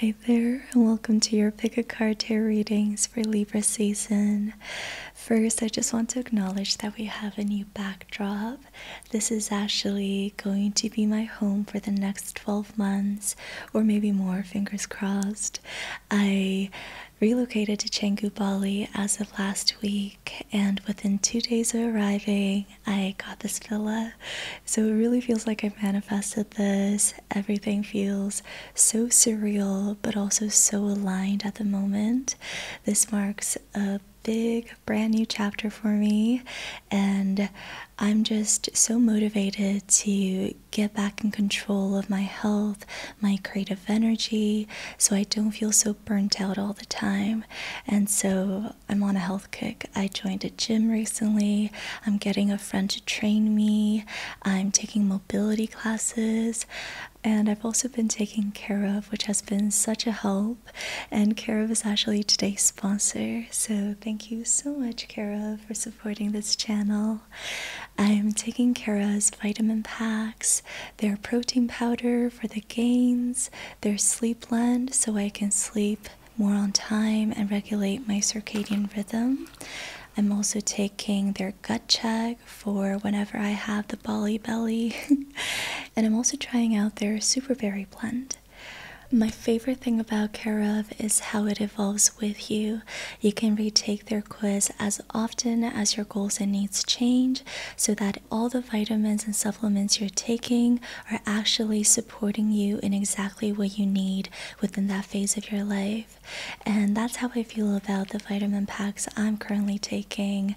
Hi there, and welcome to your Pick a Card Tarot readings for Libra season. First, I just want to acknowledge that we have a new backdrop. This is actually going to be my home for the next 12 months, or maybe more, fingers crossed. I relocated to Canggu, Bali as of last week, and within two days of arriving, I got this villa so it really feels like I manifested this. Everything feels so surreal, but also so aligned at the moment. This marks a big, brand new chapter for me, and I'm just so motivated to get back in control of my health, my creative energy, so I don't feel so burnt out all the time. And so I'm on a health kick. I joined a gym recently, I'm getting a friend to train me, I'm taking mobility classes, and I've also been taking care of, which has been such a help. And care of is actually today's sponsor, so thank you so much, Cara, for supporting this channel. I'm taking Cara's vitamin packs, their protein powder for the gains, their sleep blend so I can sleep more on time and regulate my circadian rhythm. I'm also taking their gut check for whenever I have the Bali belly. and I'm also trying out their super berry blend. My favorite thing about Care is how it evolves with you. You can retake their quiz as often as your goals and needs change so that all the vitamins and supplements you're taking are actually supporting supporting you in exactly what you need within that phase of your life. And that's how I feel about the vitamin packs I'm currently taking.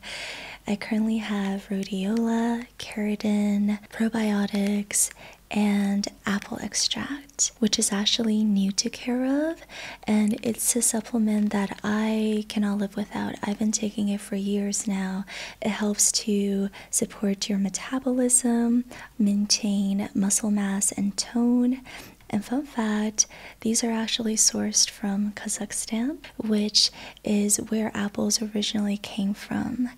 I currently have rhodiola, keratin, probiotics, and apple extract, which is actually new to care of, and it's a supplement that I cannot live without. I've been taking it for years now. It helps to support your metabolism, maintain muscle mass and tone. And fun fact, these are actually sourced from Kazakhstan, which is where apples originally came from.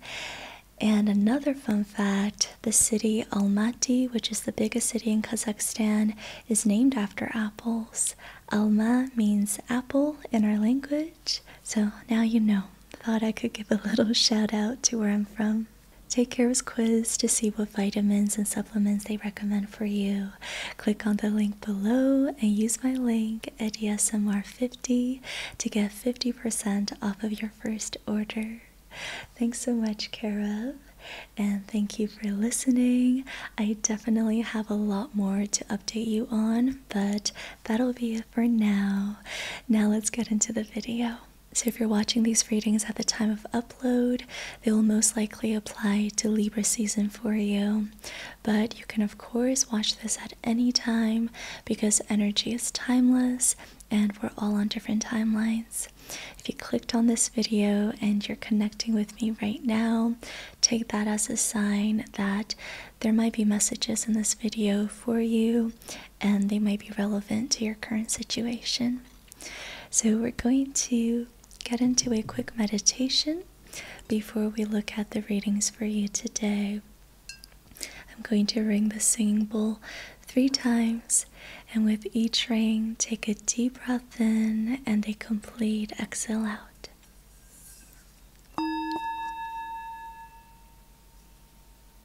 And another fun fact the city Almaty, which is the biggest city in Kazakhstan, is named after apples. Alma means apple in our language. So now you know. Thought I could give a little shout out to where I'm from. Take Care was quiz to see what vitamins and supplements they recommend for you. Click on the link below and use my link at DSMR50 to get 50% off of your first order. Thanks so much, Karev, and thank you for listening. I definitely have a lot more to update you on, but that'll be it for now. Now let's get into the video. So, if you're watching these readings at the time of upload, they will most likely apply to Libra season for you. But you can, of course, watch this at any time because energy is timeless and we're all on different timelines. If you clicked on this video and you're connecting with me right now, take that as a sign that there might be messages in this video for you and they might be relevant to your current situation. So, we're going to get into a quick meditation before we look at the readings for you today. I'm going to ring the singing bowl three times, and with each ring, take a deep breath in and a complete exhale out.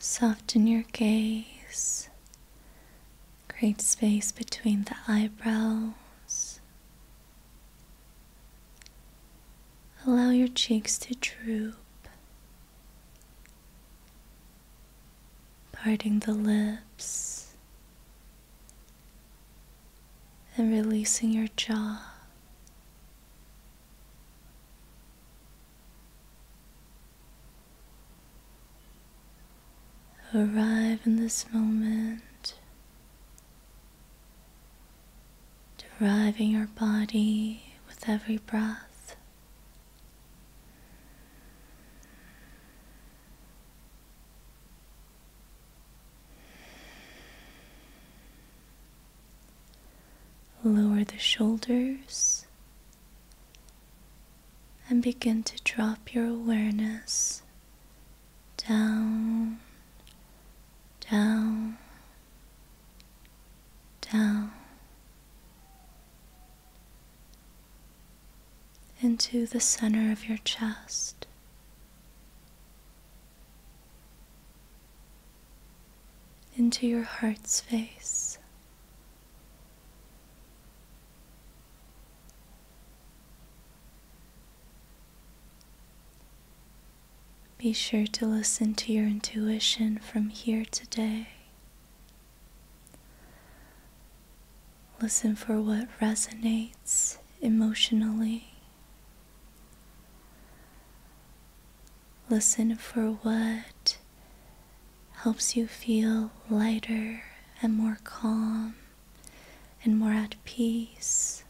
Soften your gaze. Create space between the eyebrows. Allow your cheeks to droop, parting the lips and releasing your jaw. Arrive in this moment, deriving your body with every breath. Lower the shoulders and begin to drop your awareness down, down, down into the center of your chest into your heart's face. Be sure to listen to your intuition from here today. Listen for what resonates emotionally. Listen for what helps you feel lighter and more calm and more at peace.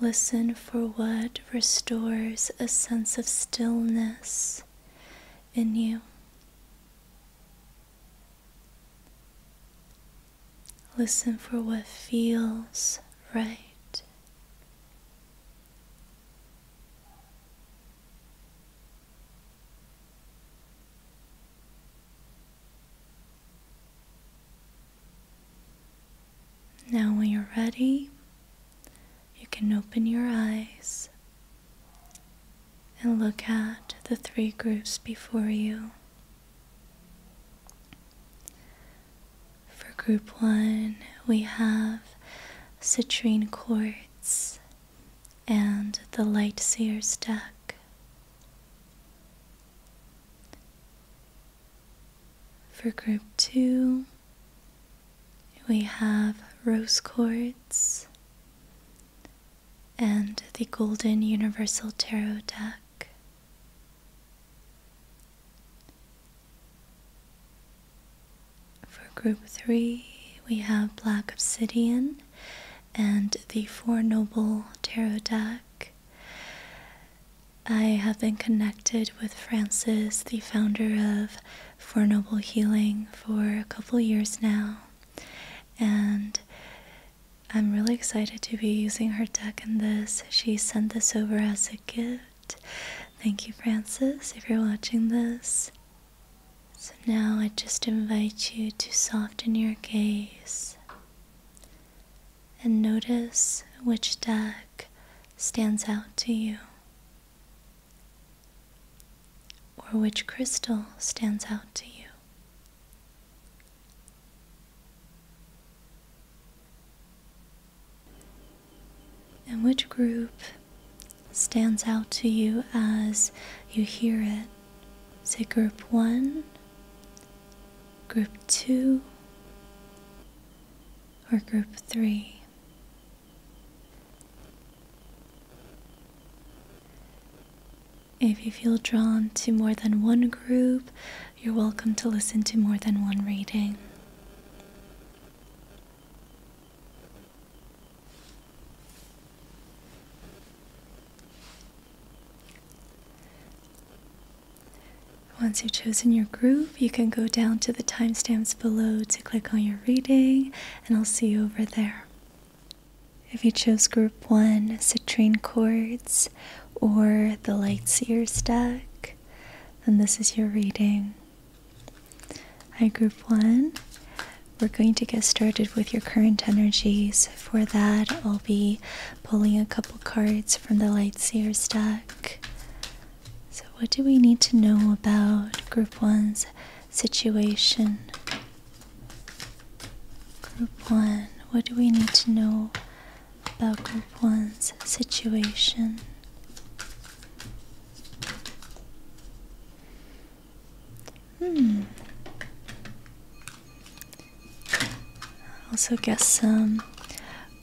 Listen for what restores a sense of stillness in you. Listen for what feels right. Now, when you're ready, you can open your eyes and look at the three groups before you. For group one, we have citrine quartz and the light seer's deck. For group two, we have rose quartz and the Golden Universal Tarot deck. For group three, we have Black Obsidian and the Four Noble Tarot deck. I have been connected with Francis, the founder of Four Noble Healing, for a couple years now, and I'm really excited to be using her deck in this. She sent this over as a gift. Thank you, Frances. if you're watching this. So now I just invite you to soften your gaze and notice which deck stands out to you or which crystal stands out to you. And which group stands out to you as you hear it? Say, group one, group two, or group three? If you feel drawn to more than one group, you're welcome to listen to more than one reading. Once you've chosen your group, you can go down to the timestamps below to click on your reading, and I'll see you over there. If you chose group one, citrine Cards, or the Lightseers deck, then this is your reading. Hi, group one. We're going to get started with your current energies. For that, I'll be pulling a couple cards from the Lightseers deck. So, what do we need to know about group one's situation? Group 1. What do we need to know about Group 1's situation? Hmm. Also get some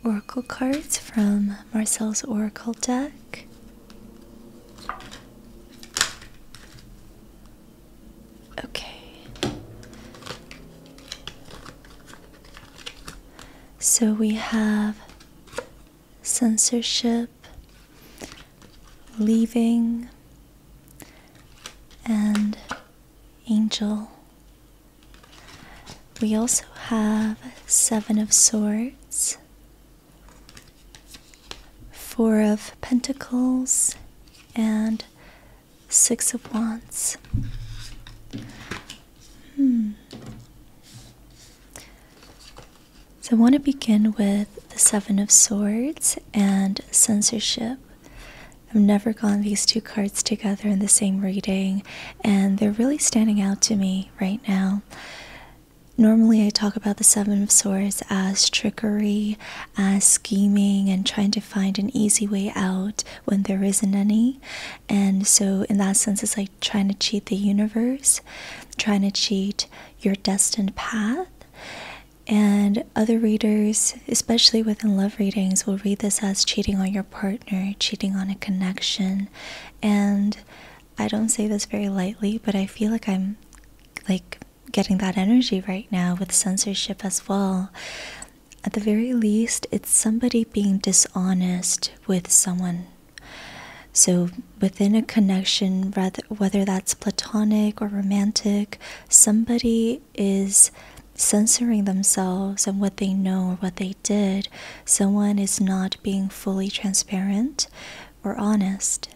oracle cards from Marcel's oracle deck. Okay. So we have censorship, leaving, and angel. We also have Seven of Swords, Four of Pentacles, and Six of Wands. Hmm. So I want to begin with the Seven of Swords and Censorship. I've never gone these two cards together in the same reading, and they're really standing out to me right now. Normally, I talk about the Seven of Swords as trickery, uh, scheming and trying to find an easy way out when there isn't any. And so, in that sense, it's like trying to cheat the universe, trying to cheat your destined path. And other readers, especially within love readings, will read this as cheating on your partner, cheating on a connection. And I don't say this very lightly, but I feel like I'm like getting that energy right now with censorship as well. At the very least, it's somebody being dishonest with someone. So, within a connection, rather, whether that's platonic or romantic, somebody is censoring themselves and what they know or what they did. Someone is not being fully transparent or honest.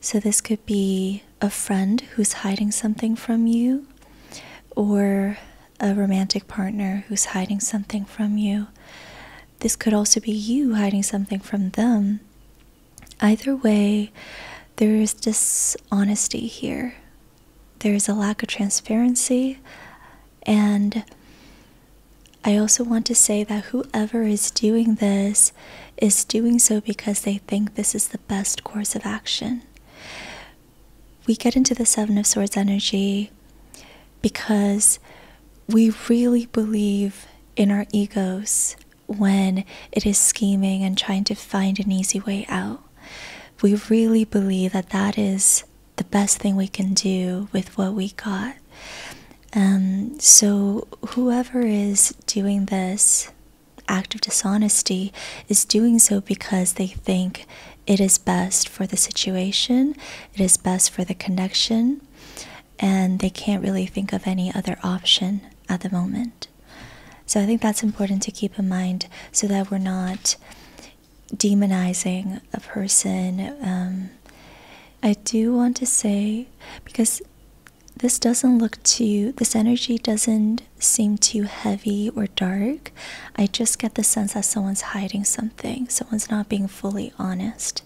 So, this could be a friend who's hiding something from you, or a romantic partner who's hiding something from you. This could also be you hiding something from them. Either way, there is dishonesty here. There is a lack of transparency. And I also want to say that whoever is doing this is doing so because they think this is the best course of action. We get into the Seven of Swords energy because we really believe in our egos when it is scheming and trying to find an easy way out. We really believe that that is the best thing we can do with what we got. and um, so, whoever is doing this, act of dishonesty is doing so because they think it is best for the situation, it is best for the connection, and they can't really think of any other option at the moment. So I think that's important to keep in mind so that we're not demonizing a person. Um, I do want to say, because this doesn't look too, this energy doesn't seem too heavy or dark. I just get the sense that someone's hiding something, someone's not being fully honest.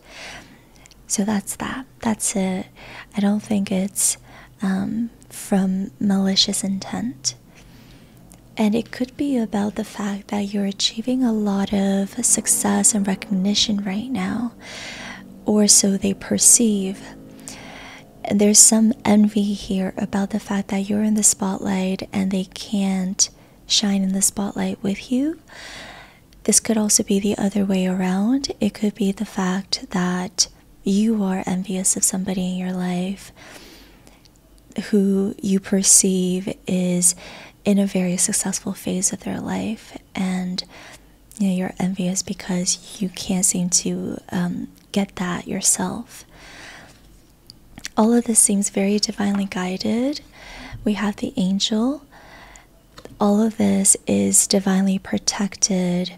So that's that. That's it. I don't think it's um, from malicious intent. And it could be about the fact that you're achieving a lot of success and recognition right now, or so they perceive there's some envy here about the fact that you're in the spotlight and they can't shine in the spotlight with you. This could also be the other way around. It could be the fact that you are envious of somebody in your life who you perceive is in a very successful phase of their life and you you're envious because you can't seem to um, get that yourself. All of this seems very divinely guided. We have the angel. All of this is divinely protected.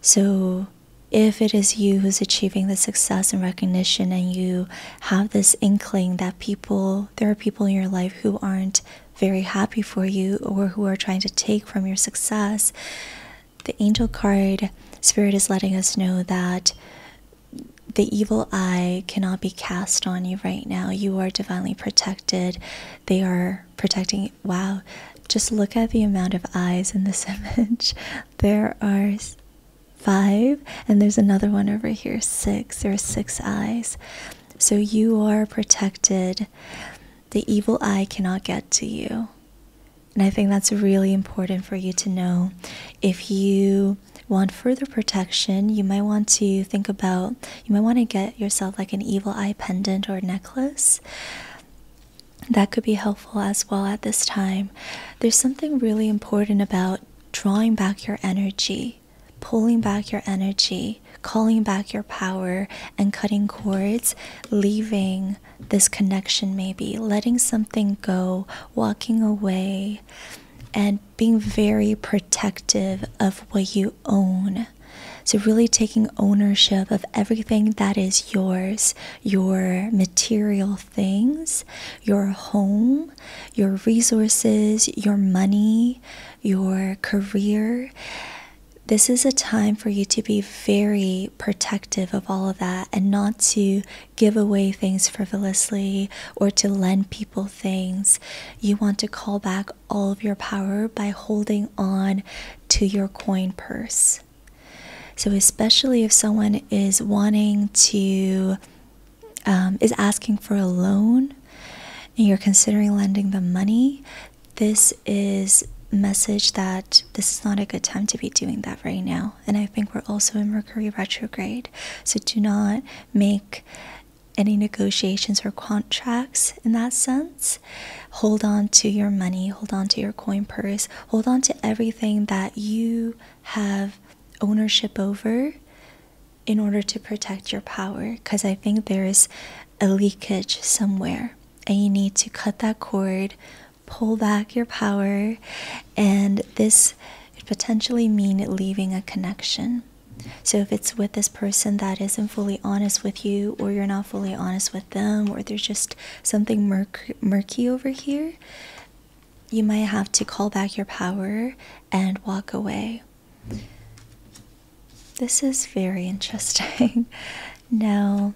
So, if it is you who's achieving the success and recognition, and you have this inkling that people, there are people in your life who aren't very happy for you or who are trying to take from your success, the angel card spirit is letting us know that the evil eye cannot be cast on you right now. You are divinely protected. They are protecting. Wow. Just look at the amount of eyes in this image. There are five, and there's another one over here, six. There are six eyes. So you are protected the evil eye cannot get to you. And I think that's really important for you to know. If you want further protection, you might want to think about, you might want to get yourself like an evil eye pendant or necklace. That could be helpful as well at this time. There's something really important about drawing back your energy, pulling back your energy, calling back your power and cutting cords, leaving this connection, maybe letting something go, walking away, and being very protective of what you own. So, really taking ownership of everything that is yours your material things, your home, your resources, your money, your career this is a time for you to be very protective of all of that and not to give away things frivolously or to lend people things. You want to call back all of your power by holding on to your coin purse. So, especially if someone is wanting to, um, is asking for a loan and you're considering lending them money, this is message that this is not a good time to be doing that right now and i think we're also in mercury retrograde so do not make any negotiations or contracts in that sense hold on to your money hold on to your coin purse hold on to everything that you have ownership over in order to protect your power because i think there is a leakage somewhere and you need to cut that cord, pull back your power, and this could potentially mean leaving a connection. So, if it's with this person that isn't fully honest with you, or you're not fully honest with them, or there's just something murk murky over here, you might have to call back your power and walk away. This is very interesting. now,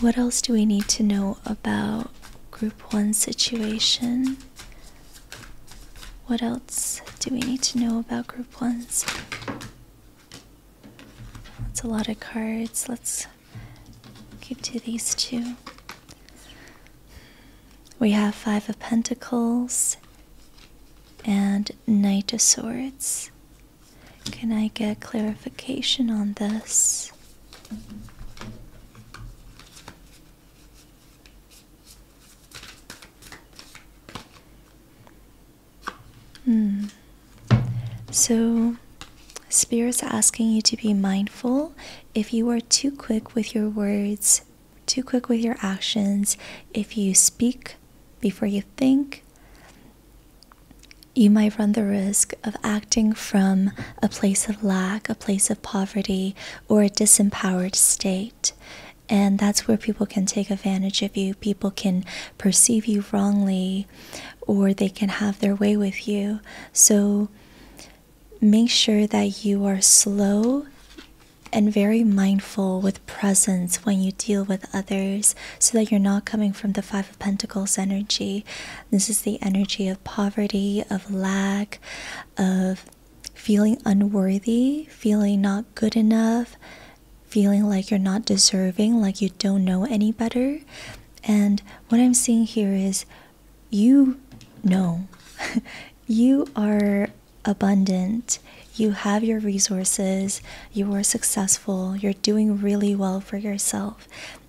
what else do we need to know about group one situation? What else do we need to know about group ones? That's a lot of cards. Let's keep to these two. We have Five of Pentacles and Knight of Swords. Can I get clarification on this? Hmm. So, Spirit's asking you to be mindful. If you are too quick with your words, too quick with your actions, if you speak before you think, you might run the risk of acting from a place of lack, a place of poverty, or a disempowered state. And that's where people can take advantage of you. People can perceive you wrongly, or they can have their way with you. So make sure that you are slow and very mindful with presence when you deal with others so that you're not coming from the Five of Pentacles energy. This is the energy of poverty, of lack, of feeling unworthy, feeling not good enough, feeling like you're not deserving, like you don't know any better. And what I'm seeing here is you know, you are abundant. You have your resources, you are successful, you're doing really well for yourself,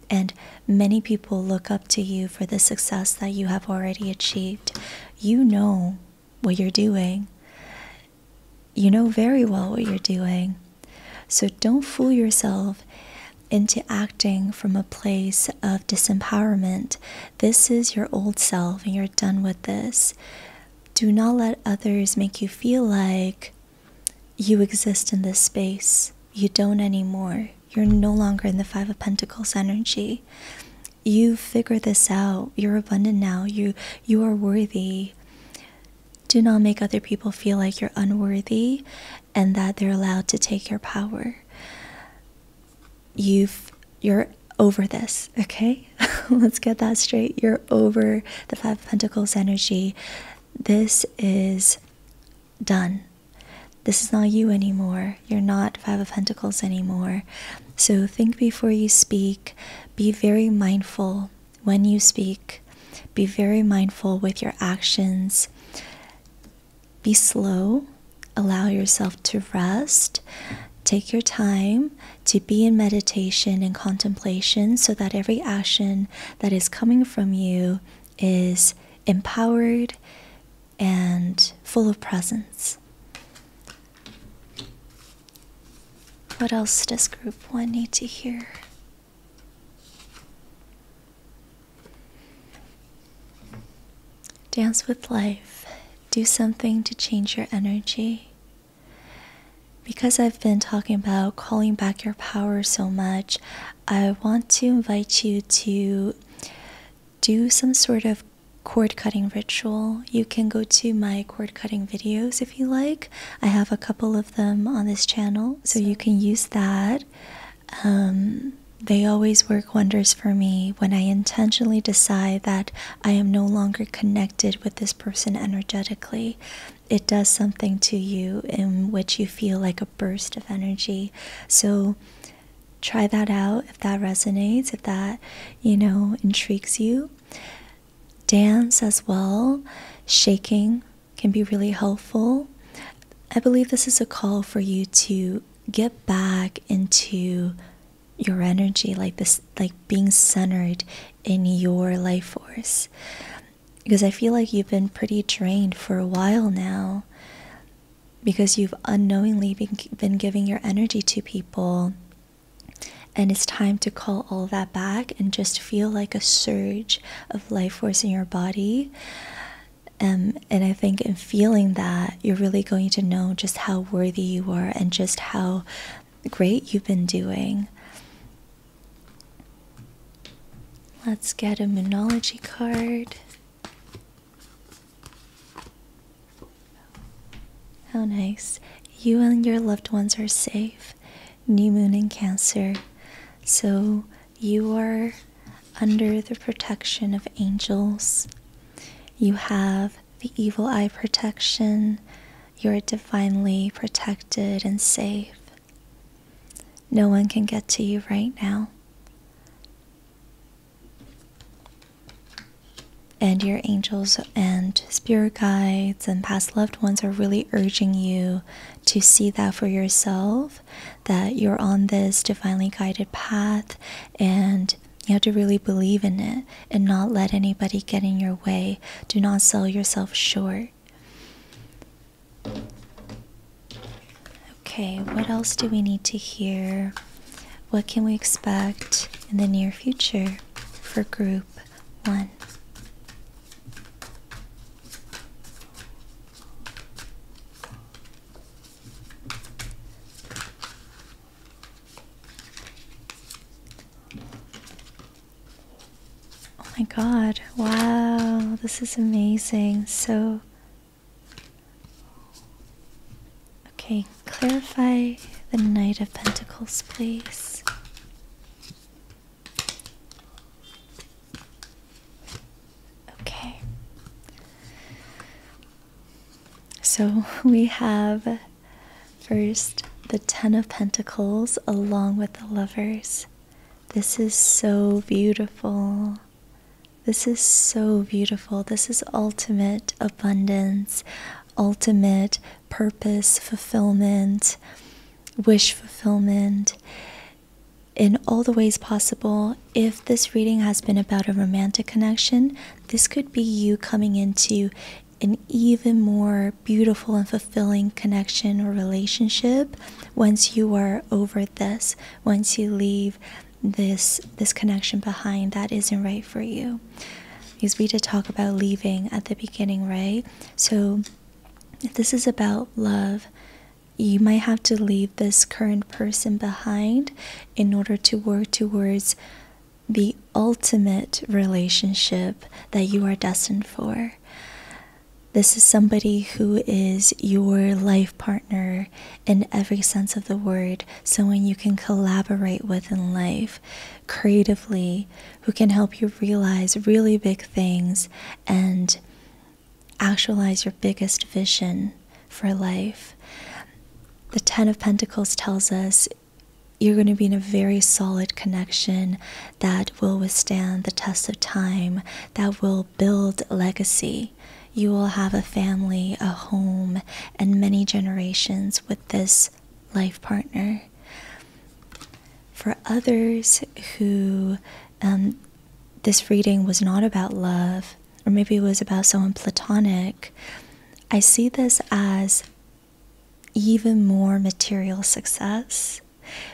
and many people look up to you for the success that you have already achieved. You know what you're doing, you know very well what you're doing. So don't fool yourself into acting from a place of disempowerment. This is your old self, and you're done with this. Do not let others make you feel like you exist in this space. You don't anymore. You're no longer in the Five of Pentacles energy. You have figured this out. You're abundant now. You you are worthy. Do not make other people feel like you're unworthy and that they're allowed to take your power. You've you're over this, okay? Let's get that straight. You're over the Five of Pentacles energy. This is done. This is not you anymore. You're not Five of Pentacles anymore. So think before you speak. Be very mindful when you speak. Be very mindful with your actions. Be slow. Allow yourself to rest. Take your time to be in meditation and contemplation so that every action that is coming from you is empowered and full of presence. What else does group one need to hear? Dance with life. Do something to change your energy. Because I've been talking about calling back your power so much, I want to invite you to do some sort of cord cutting ritual. You can go to my cord cutting videos if you like. I have a couple of them on this channel, so you can use that. Um, they always work wonders for me when I intentionally decide that I am no longer connected with this person energetically it does something to you in which you feel like a burst of energy. So try that out if that resonates, if that, you know, intrigues you. Dance as well, shaking can be really helpful. I believe this is a call for you to get back into your energy like this like being centered in your life force. Because I feel like you've been pretty drained for a while now because you've unknowingly been, giving your energy to people. And it's time to call all that back and just feel like a surge of life force in your body. Um, and I think in feeling that, you're really going to know just how worthy you are and just how great you've been doing. Let's get a Moonology card. How nice. You and your loved ones are safe. New moon in Cancer. So you are under the protection of angels. You have the evil eye protection, you are divinely protected and safe. No one can get to you right now. And your angels and spirit guides and past loved ones are really urging you to see that for yourself that you're on this divinely guided path and you have to really believe in it and not let anybody get in your way. Do not sell yourself short. Okay, what else do we need to hear? What can we expect in the near future for group one? Oh my god, wow, this is amazing. So, okay, clarify the Knight of Pentacles, please. Okay. So we have First, the Ten of Pentacles along with the Lovers. This is so beautiful. This is so beautiful. This is ultimate abundance, ultimate purpose fulfillment, wish fulfillment in all the ways possible. If this reading has been about a romantic connection, this could be you coming into an even more beautiful and fulfilling connection or relationship once you are over this once you leave this this connection behind that isn't right for you because we did talk about leaving at the beginning right so if this is about love you might have to leave this current person behind in order to work towards the ultimate relationship that you are destined for this is somebody who is your life partner in every sense of the word, someone you can collaborate with in life creatively, who can help you realize really big things and actualize your biggest vision for life. The Ten of Pentacles tells us you're going to be in a very solid connection that will withstand the test of time, that will build legacy. You will have a family, a home, and many generations with this life partner. For others who um, this reading was not about love, or maybe it was about someone platonic, I see this as even more material success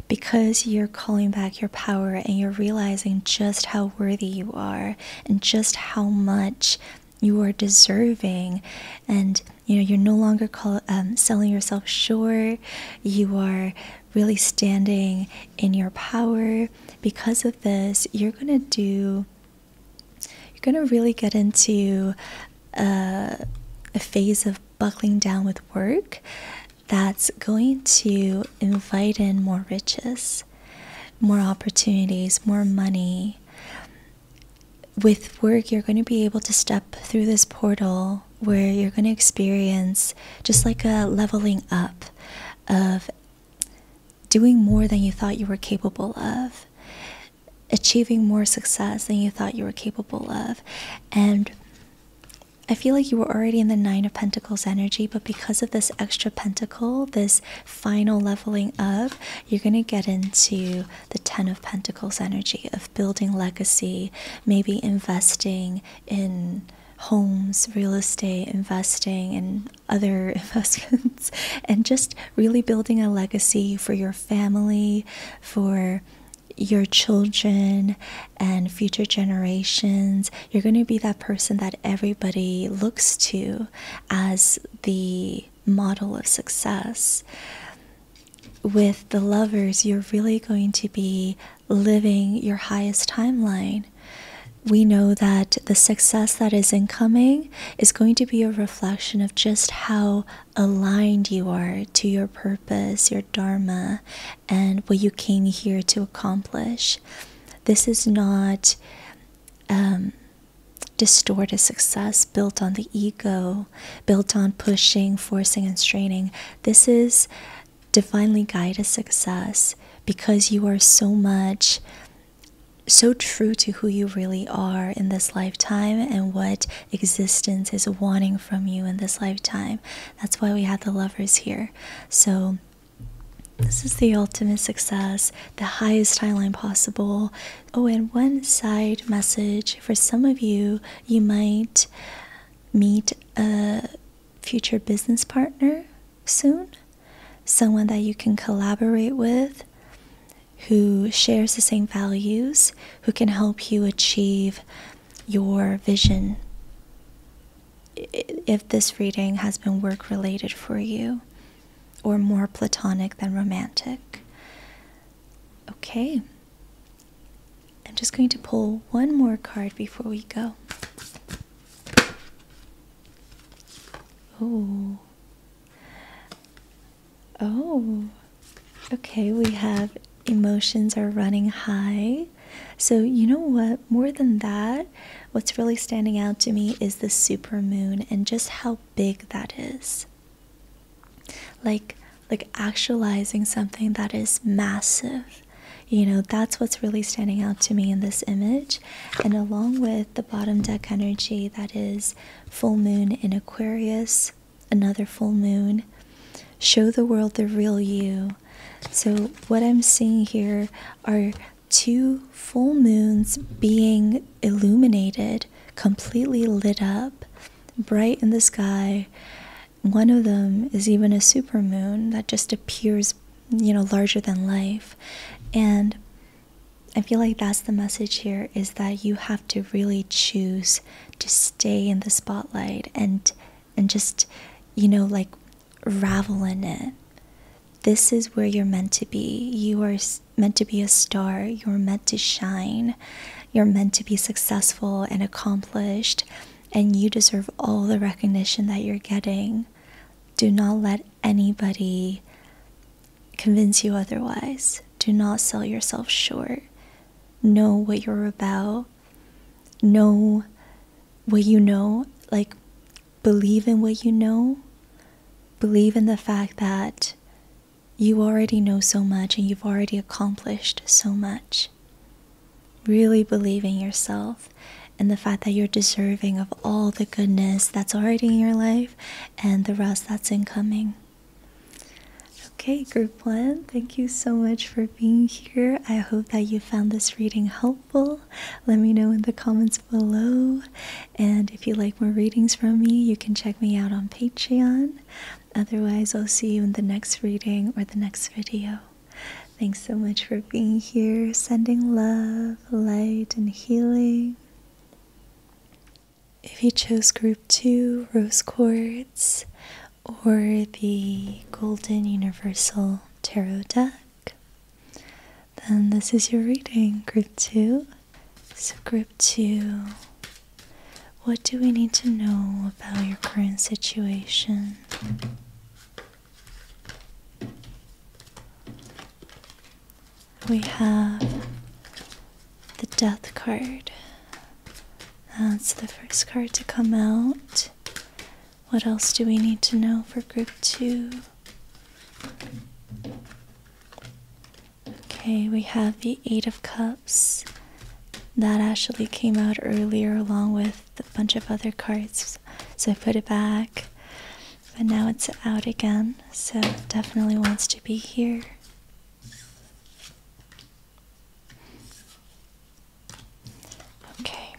because you're calling back your power and you're realizing just how worthy you are and just how much you are deserving and you know you're no longer um, selling yourself short you are really standing in your power because of this you're gonna do you're gonna really get into uh, a phase of buckling down with work that's going to invite in more riches, more opportunities, more money. With work, you're going to be able to step through this portal where you're going to experience just like a leveling up of doing more than you thought you were capable of achieving more success than you thought you were capable of. And I feel like you were already in the Nine of Pentacles energy, but because of this extra pentacle, this final leveling up, you're going to get into the Ten of Pentacles energy of building legacy, maybe investing in homes, real estate, investing in other investments, and just really building a legacy for your family, for your children and future generations. You're going to be that person that everybody looks to as the model of success. With the lovers, you're really going to be living your highest timeline. We know that the success that is incoming is going to be a reflection of just how aligned you are to your purpose, your dharma, and what you came here to accomplish. This is not um, distorted success built on the ego, built on pushing, forcing, and straining. This is divinely guided success because you are so much so true to who you really are in this lifetime and what existence is wanting from you in this lifetime. That's why we have the lovers here. So, this is the ultimate success, the highest timeline possible. Oh, and one side message for some of you, you might meet a future business partner soon, someone that you can collaborate with who shares the same values, who can help you achieve your vision if this reading has been work related for you or more platonic than romantic. Okay. I'm just going to pull one more card before we go. Oh. Oh, okay. We have emotions are running high. So, you know what? More than that, what's really standing out to me is the super moon and just how big that is. Like, like actualizing something that is massive. You know, that's what's really standing out to me in this image. And along with the bottom deck energy that is full moon in Aquarius, another full moon. Show the world the real you. So, what I'm seeing here are two full moons being illuminated, completely lit up, bright in the sky. One of them is even a super moon that just appears, you know, larger than life. And I feel like that's the message here is that you have to really choose to stay in the spotlight and and just you know like ravel in it this is where you're meant to be you are meant to be a star you're meant to shine you're meant to be successful and accomplished and you deserve all the recognition that you're getting do not let anybody convince you otherwise do not sell yourself short know what you're about, know what you know, like believe in what you know, believe in the fact that you already know so much and you've already accomplished so much. Really believe in yourself and the fact that you're deserving of all the goodness that's already in your life and the rest that's incoming. Okay, group one, thank you so much for being here. I hope that you found this reading helpful. Let me know in the comments below. And if you like more readings from me, you can check me out on Patreon. Otherwise, I'll see you in the next reading or the next video. Thanks so much for being here. Sending love, light, and healing. If you chose group two, rose quartz, or the Golden Universal Tarot deck, then this is your reading, Group 2. So, Group 2, what do we need to know about your current situation? We have the death card. That's the first card to come out. What else do we need to know for group two? Okay, we have the Eight of Cups. That actually came out earlier along with a bunch of other cards, so I put it back. But now it's out again, so definitely wants to be here. Okay.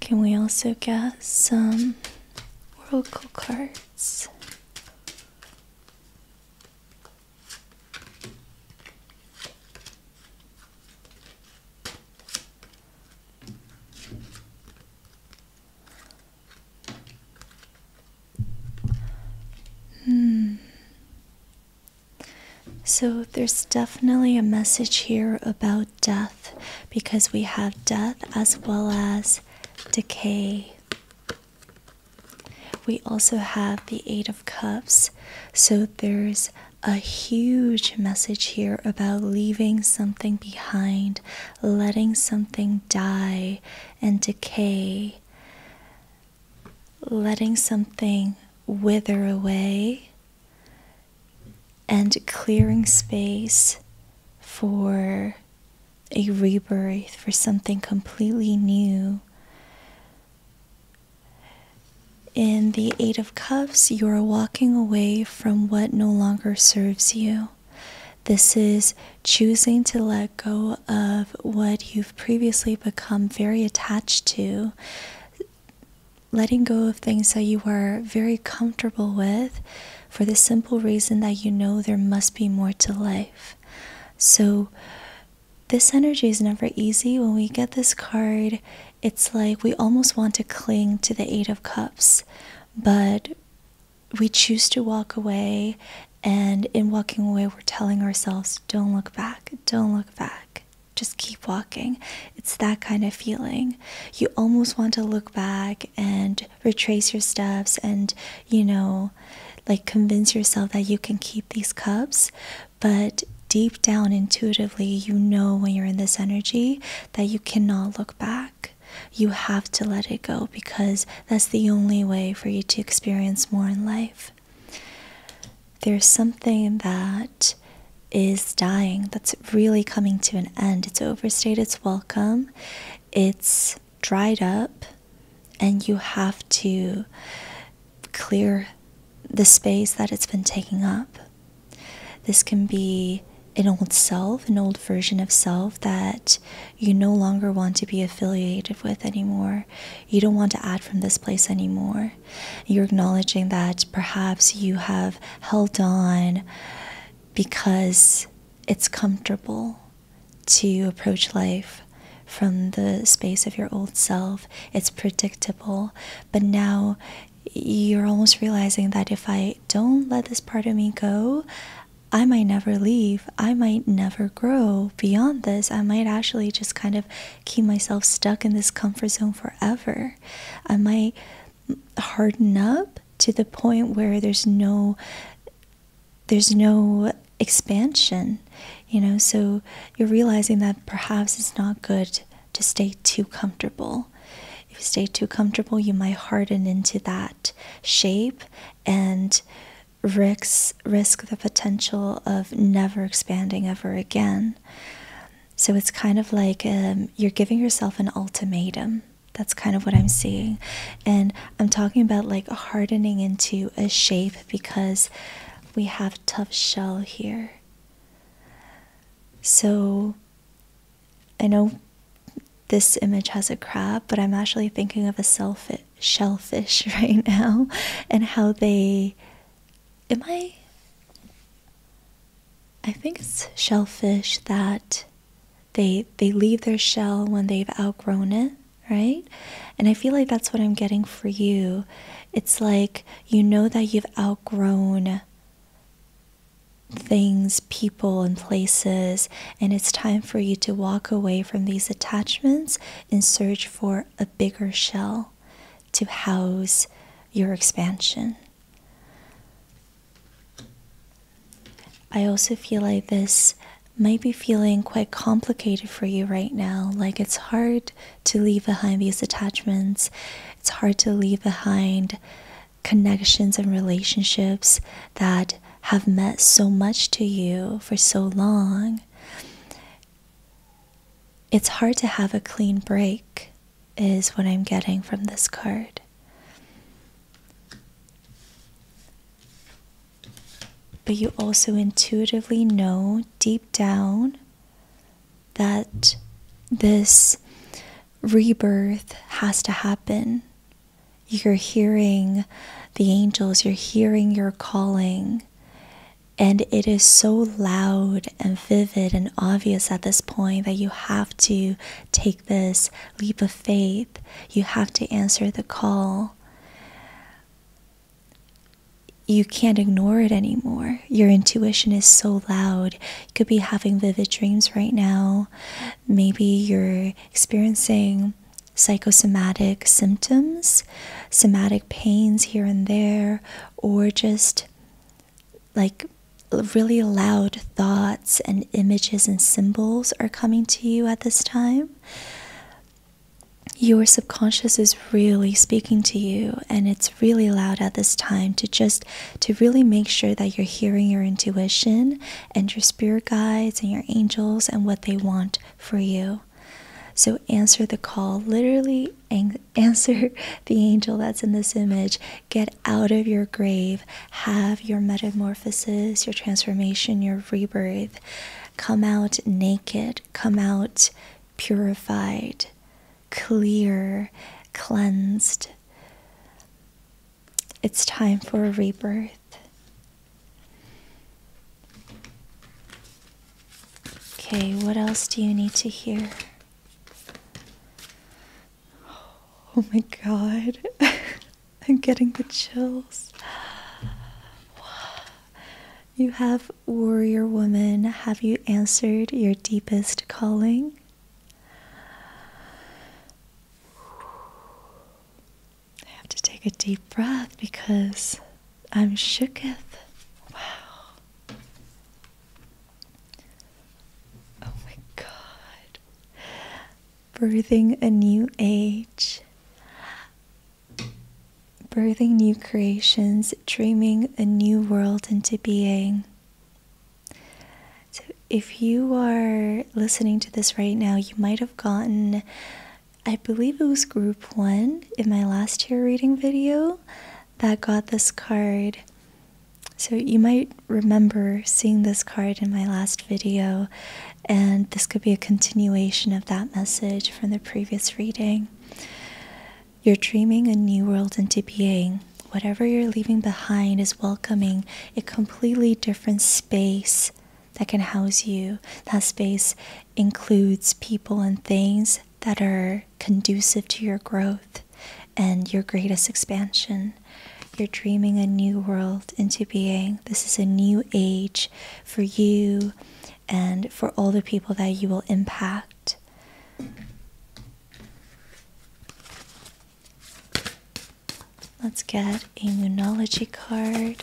Can we also get some oracle cards? Hmm. So there's definitely a message here about death because we have death as well as decay. We also have the Eight of Cups. So there's a huge message here about leaving something behind, letting something die and decay letting something wither away and clearing space for a rebirth, for something completely new. In the Eight of Cups, you are walking away from what no longer serves you. This is choosing to let go of what you've previously become very attached to, letting go of things that you were very comfortable with for the simple reason that you know there must be more to life. So, this energy is never easy. When we get this card, it's like we almost want to cling to the Eight of Cups, but we choose to walk away and in walking away, we're telling ourselves, don't look back, don't look back, just keep walking. It's that kind of feeling. You almost want to look back and retrace your steps and, you know, like convince yourself that you can keep these cups. But deep down, intuitively, you know when you're in this energy that you cannot look back. You have to let it go because that's the only way for you to experience more in life. There's something that is dying, that's really coming to an end. It's overstayed its welcome, it's dried up, and you have to clear the space that it's been taking up. This can be an old self, an old version of self that you no longer want to be affiliated with anymore. You don't want to add from this place anymore. You're acknowledging that perhaps you have held on because it's comfortable to approach life from the space of your old self. It's predictable. But now you're almost realizing that if I don't let this part of me go, I might never leave. I might never grow beyond this. I might actually just kind of keep myself stuck in this comfort zone forever. I might harden up to the point where there's no there's no expansion you know so you're realizing that perhaps it's not good to stay too comfortable if you stay too comfortable you might harden into that shape and risks risk the potential of never expanding ever again. So it's kind of like um, you're giving yourself an ultimatum. That's kind of what I'm seeing. And I'm talking about like hardening into a shape because we have tough shell here. So I know this image has a crab, but I'm actually thinking of a sailfish, shellfish right now and how they am I I think it's shellfish that they they leave their shell when they've outgrown it, right? And I feel like that's what I'm getting for you. It's like you know that you've outgrown things, people, and places, and it's time for you to walk away from these attachments and search for a bigger shell to house your expansion. I also feel like this might be feeling quite complicated for you right now. Like it's hard to leave behind these attachments, it's hard to leave behind connections and relationships that have meant so much to you for so long. It's hard to have a clean break, is what I'm getting from this card. But you also intuitively know deep down that this rebirth has to happen. You're hearing the angels, you're hearing your calling, and it is so loud and vivid and obvious at this point that you have to take this leap of faith. You have to answer the call. You can't ignore it anymore. Your intuition is so loud. You could be having vivid dreams right now. Maybe you're experiencing psychosomatic symptoms, somatic pains here and there, or just like really loud thoughts and images and symbols are coming to you at this time. Your subconscious is really speaking to you and it's really loud at this time to just to really make sure that you're hearing your intuition and your spirit guides and your angels and what they want for you. So answer the call, literally answer the angel that's in this image. Get out of your grave, have your metamorphosis, your transformation, your rebirth. Come out naked, come out purified, clear, cleansed. It's time for a rebirth. Okay, what else do you need to hear? Oh my god. I'm getting the chills. You have warrior woman. Have you answered your deepest calling? I have to take a deep breath because I'm shooketh. Wow. Oh my god. Birthing a new age. Birthing new creations, dreaming a new world into being. So, if you are listening to this right now, you might have gotten I believe it was group one in my last year reading video that got this card. So you might remember seeing this card in my last video, and this could be a continuation of that message from the previous reading. You're dreaming a new world into being. Whatever you're leaving behind is welcoming a completely different space that can house you. That space includes people and things that are conducive to your growth and your greatest expansion. You're dreaming a new world into being. This is a new age for you and for all the people that you will impact. Let's get a Moonology card.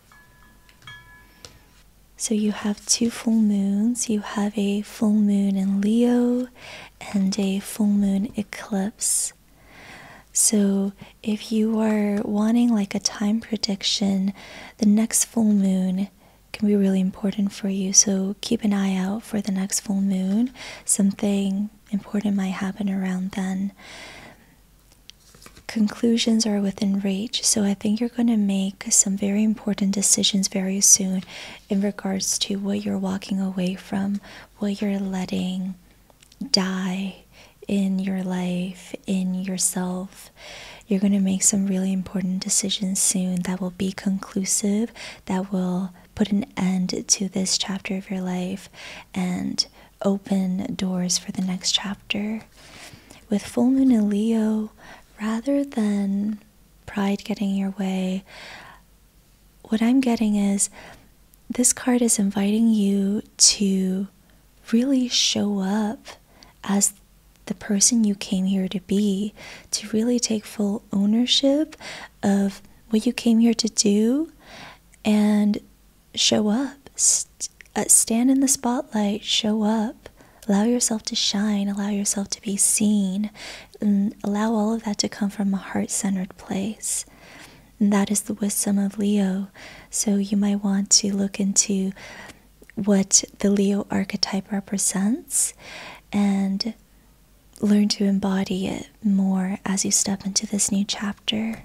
So you have two full moons. You have a full moon in Leo and a full moon eclipse. So if you are wanting like a time prediction, the next full moon can be really important for you. So keep an eye out for the next full moon. Something important might happen around then conclusions are within reach. So I think you're going to make some very important decisions very soon in regards to what you're walking away from, what you're letting die in your life, in yourself. You're going to make some really important decisions soon that will be conclusive, that will put an end to this chapter of your life and open doors for the next chapter. With full moon in Leo, rather than pride getting your way, what I'm getting is this card is inviting you to really show up as the person you came here to be, to really take full ownership of what you came here to do and show up, uh, stand in the spotlight, show up, allow yourself to shine, allow yourself to be seen, and allow all of that to come from a heart centered place. And that is the wisdom of Leo. So you might want to look into what the Leo archetype represents and learn to embody it more as you step into this new chapter.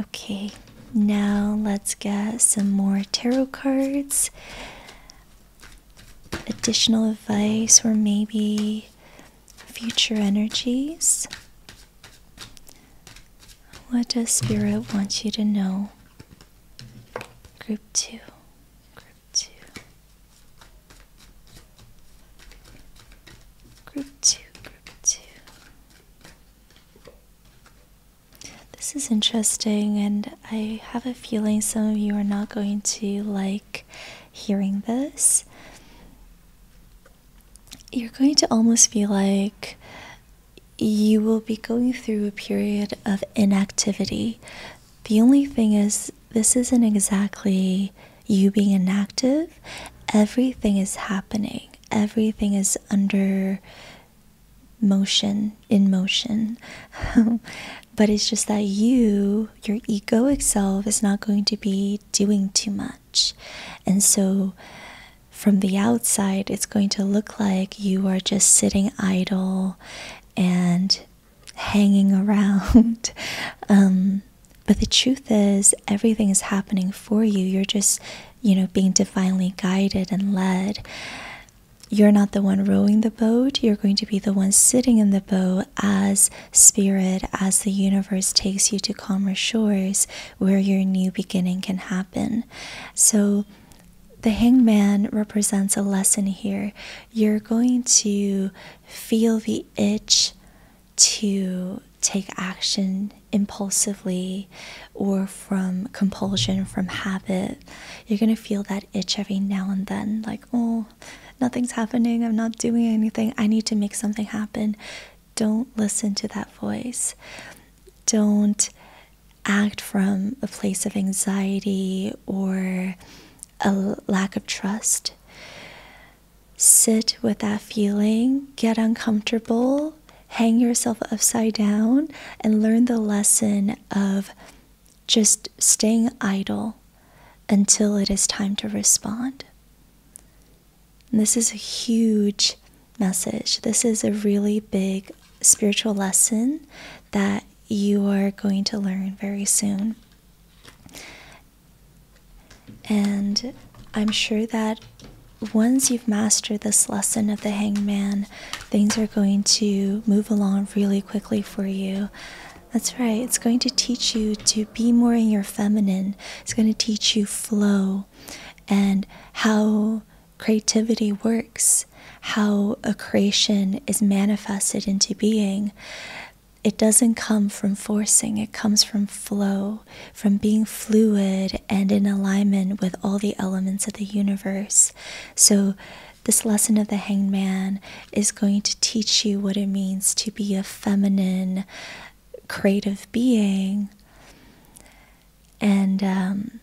Okay, now let's get some more tarot cards. Additional advice, or maybe future energies. What does Spirit want you to know? Group 2. Group 2. Group 2. Group 2. This is interesting, and I have a feeling some of you are not going to like hearing this. You're going to almost feel like you will be going through a period of inactivity. The only thing is, this isn't exactly you being inactive, everything is happening everything is under motion, in motion. but it's just that you, your egoic self, is not going to be doing too much. And so from the outside, it's going to look like you are just sitting idle and hanging around. Um, but the truth is, everything is happening for you. You're just, you know, being divinely guided and led. You're not the one rowing the boat, you're going to be the one sitting in the boat as spirit, as the universe takes you to calmer shores where your new beginning can happen. So, the hangman represents a lesson here. You're going to feel the itch to take action impulsively or from compulsion, from habit, you're going to feel that itch every now and then like, oh, nothing's happening. I'm not doing anything. I need to make something happen. Don't listen to that voice. Don't act from a place of anxiety or a lack of trust. Sit with that feeling, get uncomfortable, hang yourself upside down, and learn the lesson of just staying idle until it is time to respond. this is a huge message. This is a really big spiritual lesson that you are going to learn very soon. And I'm sure that once you've mastered this lesson of the hangman, things are going to move along really quickly for you. That's right, it's going to teach you to be more in your feminine, it's going to teach you flow and how creativity works, how a creation is manifested into being. It doesn't come from forcing, it comes from flow from being fluid and in alignment with all the elements of the universe. So, this lesson of the hanged man is going to teach you what it means to be a feminine, creative being. And, um,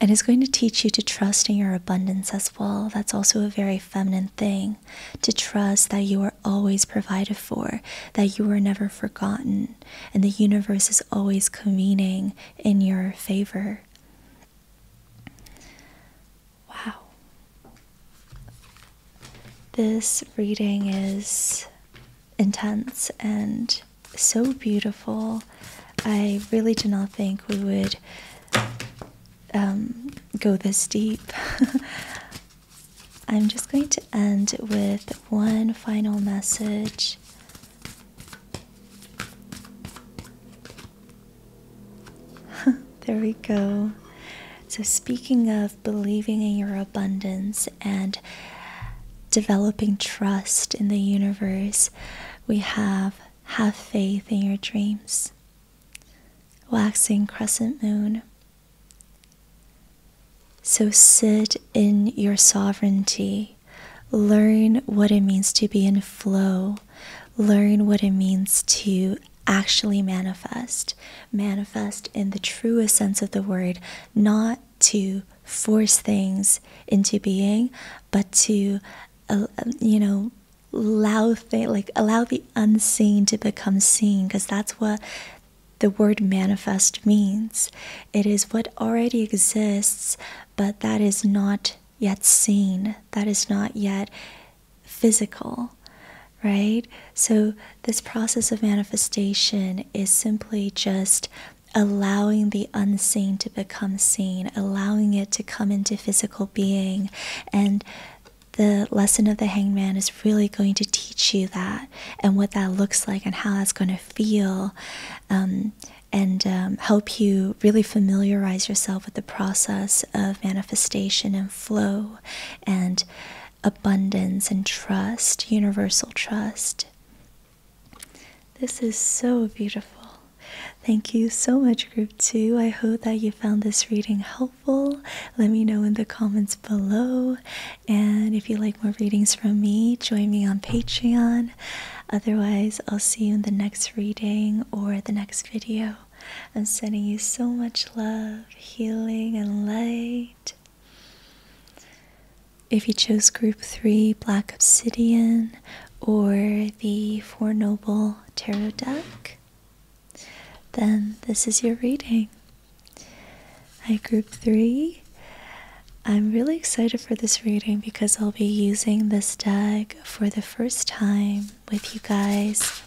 and it's going to teach you to trust in your abundance as well. That's also a very feminine thing to trust that you are always provided for, that you are never forgotten, and the universe is always convening in your favor. Wow. This reading is intense and so beautiful. I really do not think we would um, go this deep. I'm just going to end with one final message there we go. So, speaking of believing in your abundance and developing trust in the universe, we have have faith in your dreams. Waxing crescent moon. So sit in your sovereignty. Learn what it means to be in flow. Learn what it means to actually manifest. Manifest in the truest sense of the word, not to force things into being, but to, uh, you know, allow thing, like allow the unseen to become seen because that's what the word manifest means. It is what already exists, but that is not yet seen, that is not yet physical, right? So, this process of manifestation is simply just allowing the unseen to become seen, allowing it to come into physical being. And the lesson of the hangman is really going to teach you that and what that looks like and how that's going to feel, um, and um, help you really familiarize yourself with the process of manifestation and flow and abundance and trust, universal trust. This is so beautiful. Thank you so much, Group 2. I hope that you found this reading helpful. Let me know in the comments below and if you like more readings from me, join me on Patreon. Otherwise, I'll see you in the next reading or the next video. I'm sending you so much love, healing, and light. If you chose Group 3, Black Obsidian, or the Four Noble Tarot deck, then this is your reading. Hi, Group 3. I'm really excited for this reading because I'll be using this deck for the first time with you guys.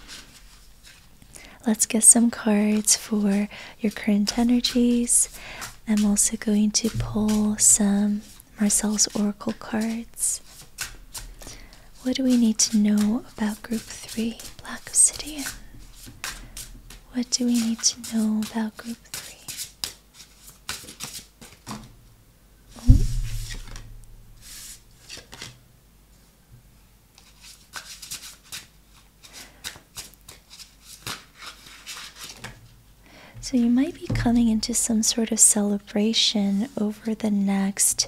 Let's get some cards for your current energies. I'm also going to pull some Marcel's Oracle cards. What do we need to know about Group 3, Black Obsidian? What do we need to know about Group 3? So, you might be coming into some sort of celebration over the next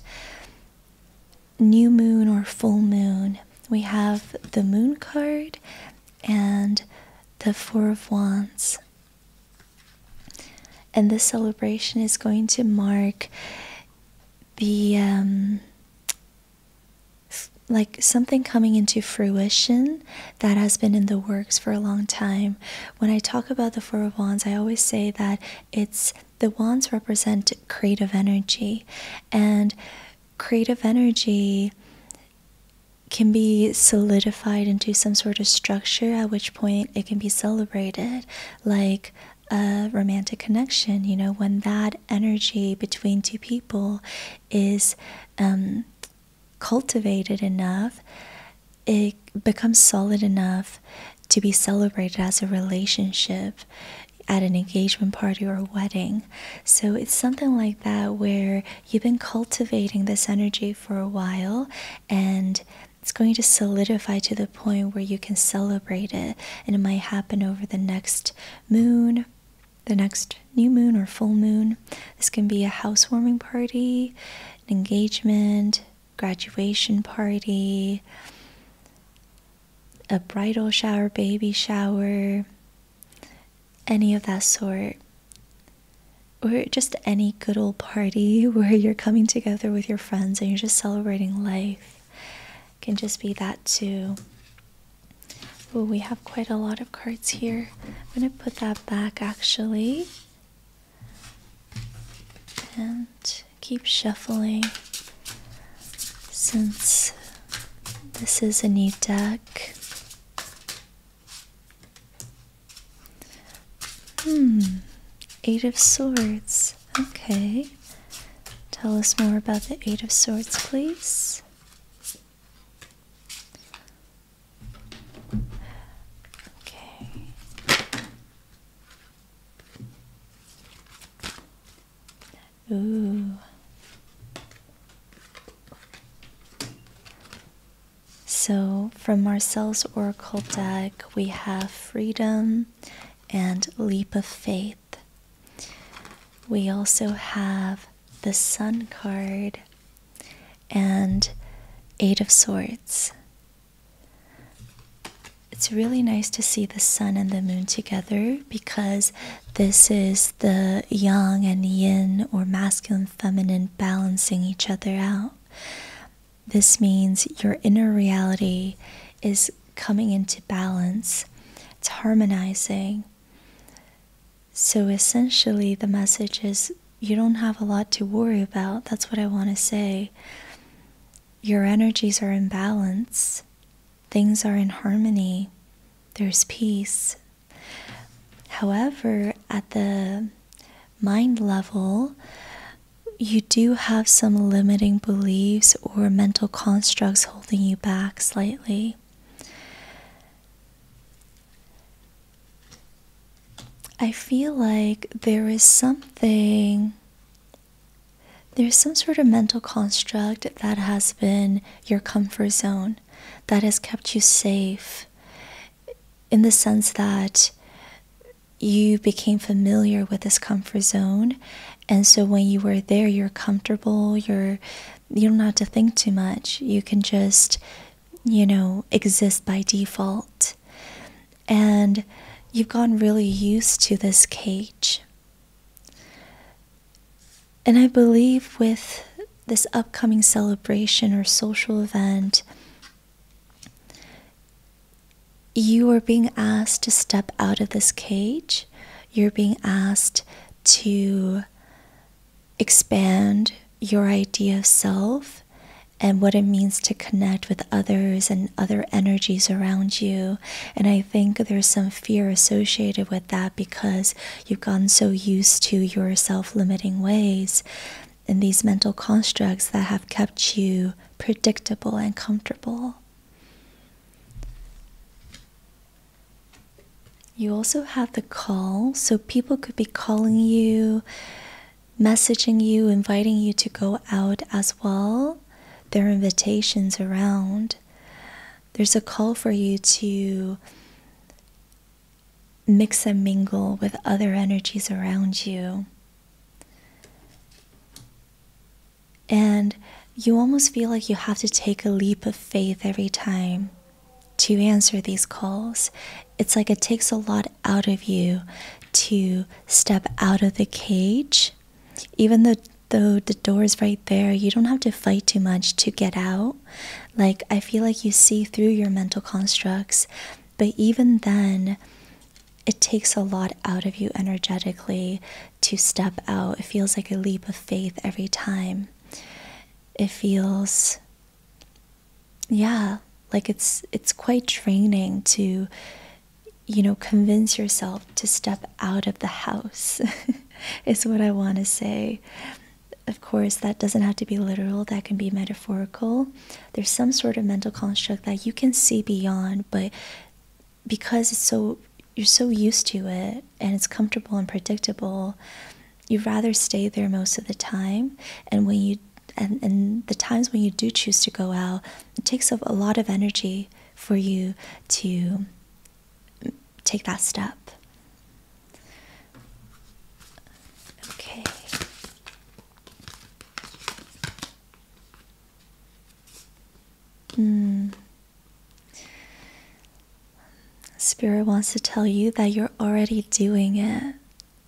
new moon or full moon. We have the moon card and the Four of Wands. And this celebration is going to mark the um, like something coming into fruition that has been in the works for a long time. When I talk about the Four of Wands, I always say that it's the wands represent creative energy, and creative energy can be solidified into some sort of structure, at which point it can be celebrated like a romantic connection. You know, when that energy between two people is um, cultivated enough, it becomes solid enough to be celebrated as a relationship at an engagement party or a wedding. So it's something like that where you've been cultivating this energy for a while and it's going to solidify to the point where you can celebrate it. And it might happen over the next moon, the next new moon or full moon. This can be a housewarming party, an engagement, graduation party, a bridal shower, baby shower, any of that sort, or just any good old party where you're coming together with your friends and you're just celebrating life, can just be that too. Well, we have quite a lot of cards here. I'm going to put that back actually and keep shuffling since this is a new deck. Hmm. Eight of Swords. Okay. Tell us more about the Eight of Swords, please. Okay. Ooh. So, from Marcel's Oracle deck, we have Freedom and Leap of Faith. We also have the Sun card and Eight of Swords. It's really nice to see the Sun and the Moon together because this is the yang and yin or masculine feminine balancing each other out. This means your inner reality is coming into balance, it's harmonizing. So essentially, the message is you don't have a lot to worry about. That's what I want to say. Your energies are in balance, things are in harmony, there's peace, However, at the mind level, you do have some limiting beliefs or mental constructs holding you back slightly. I feel like there is something, there's some sort of mental construct that has been your comfort zone that has kept you safe in the sense that you became familiar with this comfort zone and so when you were there you're comfortable you're you don't have to think too much you can just you know exist by default and you've gotten really used to this cage and I believe with this upcoming celebration or social event, you are being asked to step out of this cage. You're being asked to expand your idea of self and what it means to connect with others and other energies around you. And I think there's some fear associated with that because You've gotten so used to your self limiting ways and these mental constructs that have kept you predictable and comfortable. You also have the call, so people could be calling you, messaging you, inviting you to go out as well. There are invitations around. There's a call for you to mix and mingle with other energies around you. And you almost feel like you have to take a leap of faith every time to answer these calls. It's like it takes a lot out of you to step out of the cage. Even though, the door is right there, you don't have to fight too much to get out. Like, I feel like you see through your mental constructs, but even then, it takes a lot out of you energetically to step out. It feels like a leap of faith every time. It feels yeah, like it's it's quite draining to you know, convince yourself to step out of the house. is what I want to say. Of course, that doesn't have to be literal, that can be metaphorical. There's some sort of mental construct that you can see beyond, but because it's so you're so used to it and it's comfortable and predictable, you would rather stay there most of the time. And when you and, and the times when you do choose to go out, it takes a lot of energy for you to take that step. Okay. Mm. Spirit wants to tell you that you're already doing it.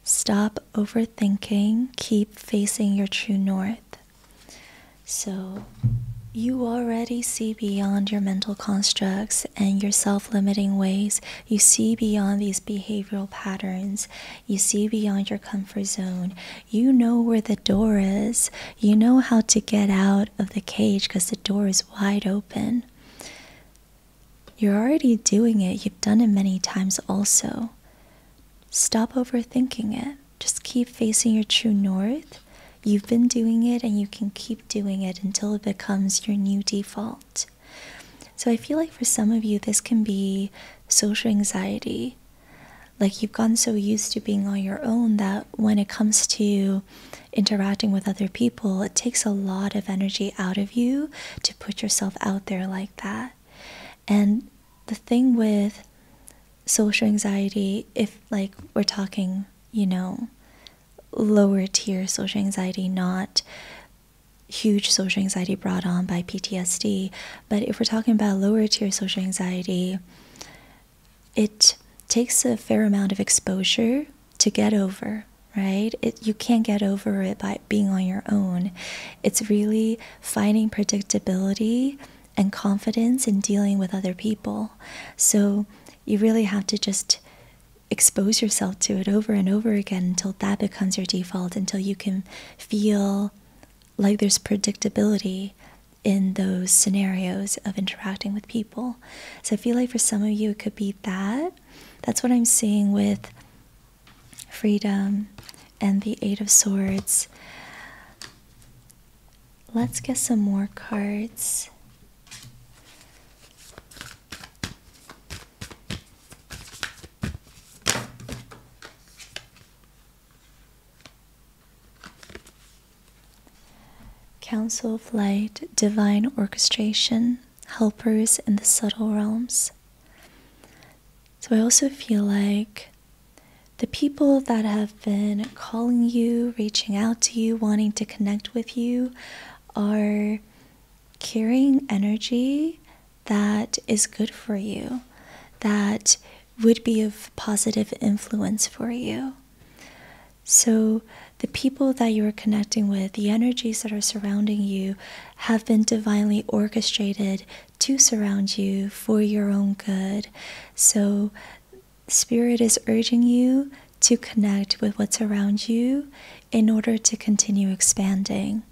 Stop overthinking, keep facing your true north. So, you already see beyond your mental constructs and yourself limiting ways, you see beyond these behavioral patterns, you see beyond your comfort zone, you know where the door is, you know how to get out of the cage because the door is wide open. You're already doing it, you've done it many times also. Stop overthinking it. Just keep facing your true north. You've been doing it and you can keep doing it until it becomes your new default. So I feel like for some of you, this can be social anxiety. Like you've gotten so used to being on your own that when it comes to interacting with other people, it takes a lot of energy out of you to put yourself out there like that. And the thing with social anxiety, if like we're talking, you know, lower tier social anxiety, not huge social anxiety brought on by PTSD. But if we're talking about lower tier social anxiety, it takes a fair amount of exposure to get over, right? you can't get over it by being on your own. It's really finding predictability and confidence in dealing with other people. So you really have to just expose yourself to it over and over again until that becomes your default, until you can feel like there's predictability in those scenarios of interacting with people. So I feel like for some of you, it could be that. That's what I'm seeing with freedom and the Eight of Swords. Let's get some more cards. Council of Light, Divine Orchestration, Helpers in the Subtle Realms. So I also feel like the people that have been calling you, reaching out to you, wanting to connect with you are carrying energy that is good for you, that would be of positive influence for you. So, the people that you are connecting with, the energies that are surrounding you, have been divinely orchestrated to surround you for your own good. So, Spirit is urging you to connect with what's around you in order to continue expanding.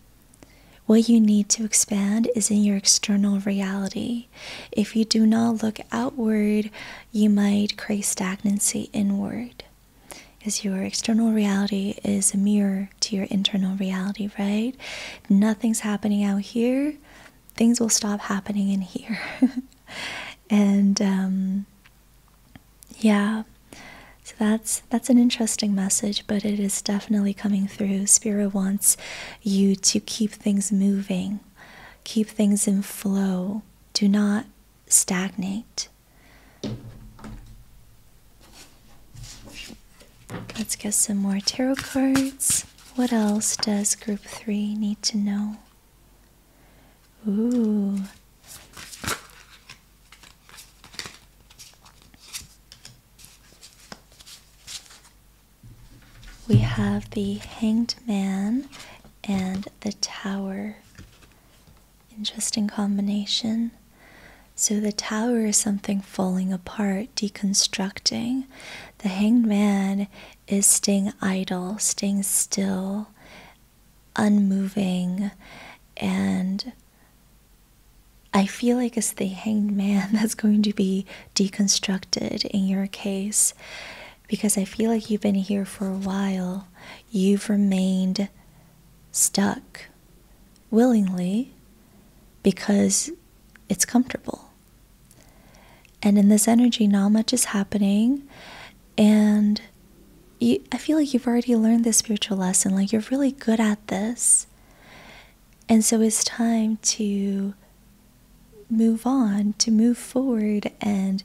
What you need to expand is in your external reality. If you do not look outward, you might create stagnancy inward. as your external reality is a mirror to your internal reality, right? Nothing's happening out here, things will stop happening in here. and um, yeah. So that's that's an interesting message, but it is definitely coming through. Spirit wants you to keep things moving, keep things in flow. Do not stagnate. Let's get some more tarot cards. What else does group three need to know? Ooh. We have the Hanged Man and the Tower. Interesting combination. So, the tower is something falling apart, deconstructing. The hanged man is staying idle, staying still, unmoving and I feel like it's the hanged man that's going to be deconstructed in your case because I feel like you've been here for a while. You've remained stuck willingly because it's comfortable. And in this energy, not much is happening. And I feel like you've already learned this spiritual lesson. Like you're really good at this. And so it's time to move on, to move forward and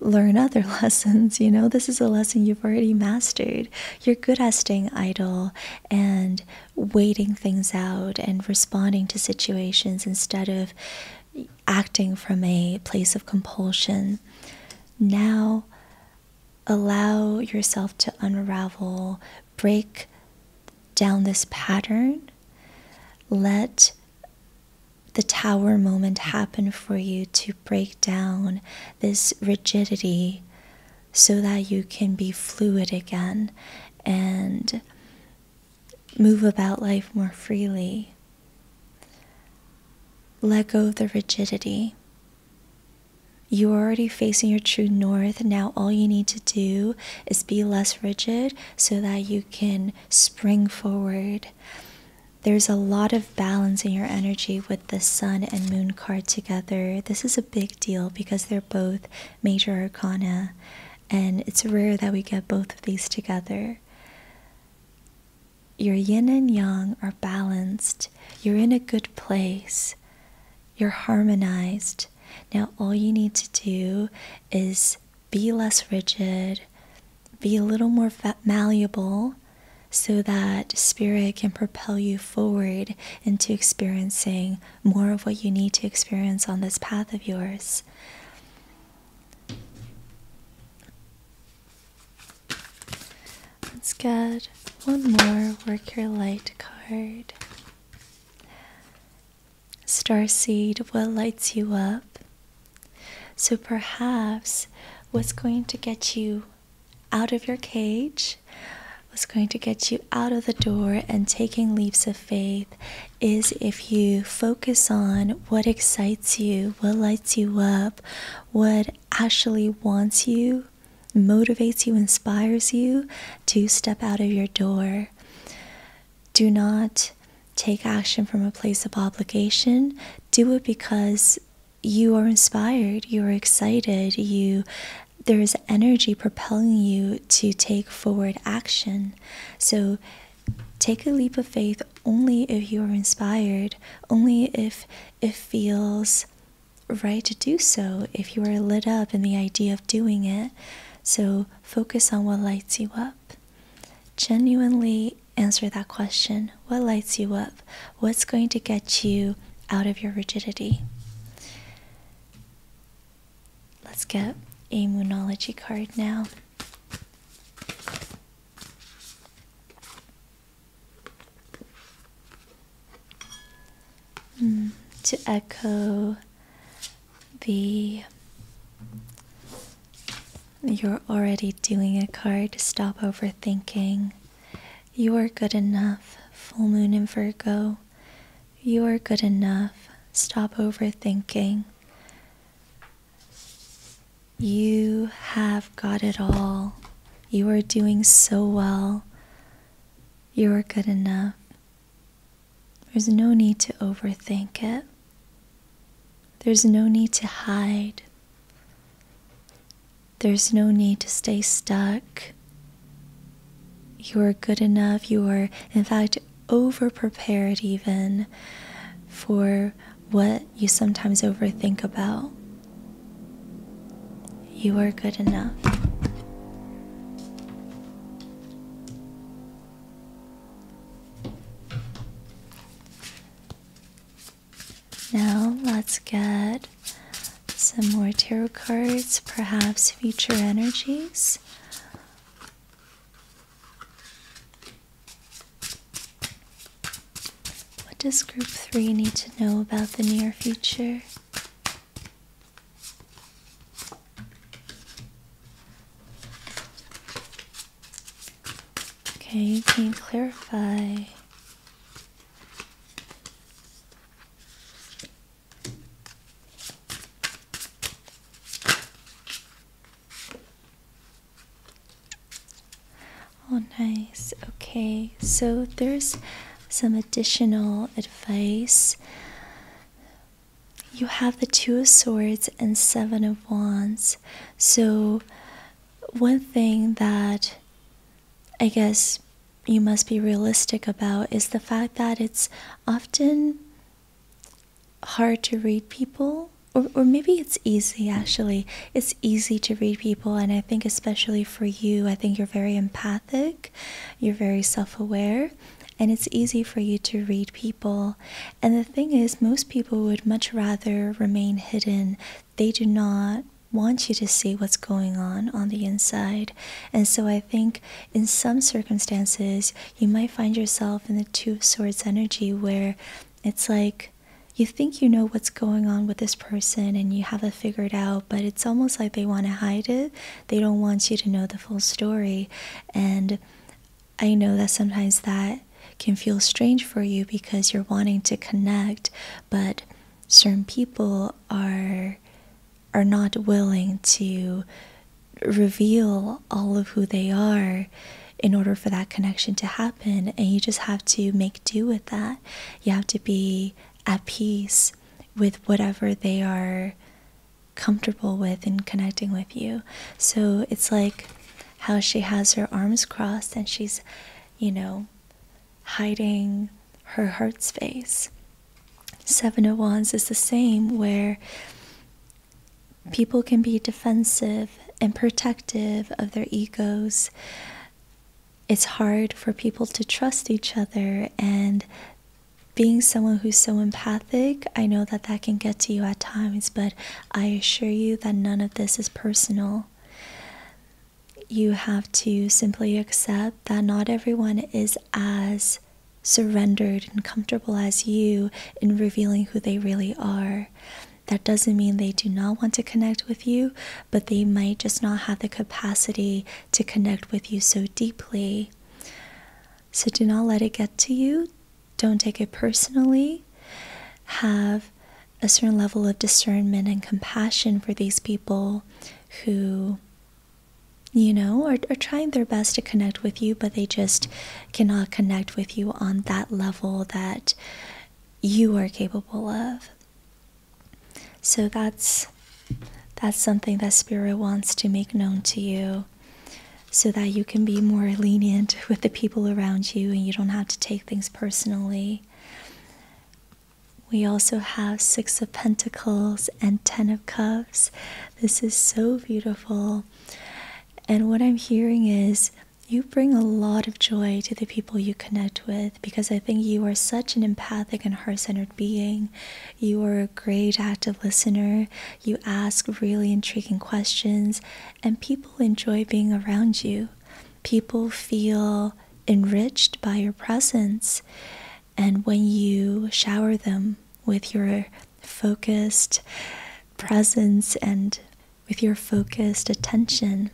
learn other lessons. You know, this is a lesson you've already mastered. You're good at staying idle and waiting things out and responding to situations instead of acting from a place of compulsion. Now allow yourself to unravel, break down this pattern. Let the tower moment happen for you to break down this rigidity so that you can be fluid again and move about life more freely. Let go of the rigidity. You are already facing your true north. Now, all you need to do is be less rigid so that you can spring forward. There's a lot of balance in your energy with the Sun and Moon card together. This is a big deal because they're both major arcana, and it's rare that we get both of these together your yin and yang are balanced, you're in a good place, you're harmonized. Now, all you need to do is be less rigid, be a little more malleable so that spirit can propel you forward into experiencing more of what you need to experience on this path of yours. Let's get one more Work Your Light card. Star seed. what lights you up? So perhaps what's going to get you out of your cage, what's going to get you out of the door and taking leaps of faith is if you focus on what excites you, what lights you up, what actually wants you, motivates you, inspires you to step out of your door. Do not take action from a place of obligation. Do it because you are inspired, you are excited, you there is energy propelling you to take forward action. So take a leap of faith only if you are inspired, only if it feels right to do so, if you are lit up in the idea of doing it. So focus on what lights you up. Genuinely answer that question what lights you up? What's going to get you out of your rigidity? Let's get a Moonology card now. Mm, to echo the you're already doing a card stop overthinking you are good enough full moon in virgo you are good enough stop overthinking you have got it all. You are doing so well. You are good enough. There's no need to overthink it. There's no need to hide. There's no need to stay stuck. You are good enough. You are, in fact, over prepared even for what you sometimes overthink about. You are good enough. Now let's get some more tarot cards, perhaps future energies. What does group three need to know about the near future? Okay, you can clarify. Oh, nice. Okay, so there's some additional advice. You have the Two of Swords and Seven of Wands. So, one thing that I guess you must be realistic about is the fact that it's often hard to read people or, or maybe it's easy actually it's easy to read people and i think especially for you i think you're very empathic you're very self-aware and it's easy for you to read people and the thing is most people would much rather remain hidden they do not want you to see what's going on on the inside and so i think in some circumstances you might find yourself in the two of swords energy where it's like you think you know what's going on with this person and you have it figured out, but it's almost like they want to hide it. They don't want you to know the full story. And I know that sometimes that can feel strange for you because you're wanting to connect, but certain people are are not willing to reveal all of who they are in order for that connection to happen. And you just have to make do with that. You have to be at peace with whatever they are comfortable with in connecting with you. So it's like how she has her arms crossed and she's, you know, hiding her heart space. Seven of oh Wands is the same, where people can be defensive and protective of their egos, it's hard for people to trust each other. And being someone who's so empathic, I know that that can get to you at times, but I assure you that none of this is personal. You have to simply accept that not everyone is as surrendered and comfortable as you in revealing who they really are. That doesn't mean they do not want to connect with you, but they might just not have the capacity to connect with you so deeply. So do not let it get to you. Don't take it personally. Have a certain level of discernment and compassion for these people who, you know, are, trying their best to connect with you, but they just cannot connect with you on that level that you are capable of. So that's that's something that spirit wants to make known to you so that you can be more lenient with the people around you and you don't have to take things personally. We also have Six of Pentacles and Ten of Cups. This is so beautiful. And what I'm hearing is you bring a lot of joy to the people you connect with because I think you are such an empathic and heart centered being. You are a great active listener. You ask really intriguing questions, and people enjoy being around you. People feel enriched by your presence. And when you shower them with your focused presence and with your focused attention.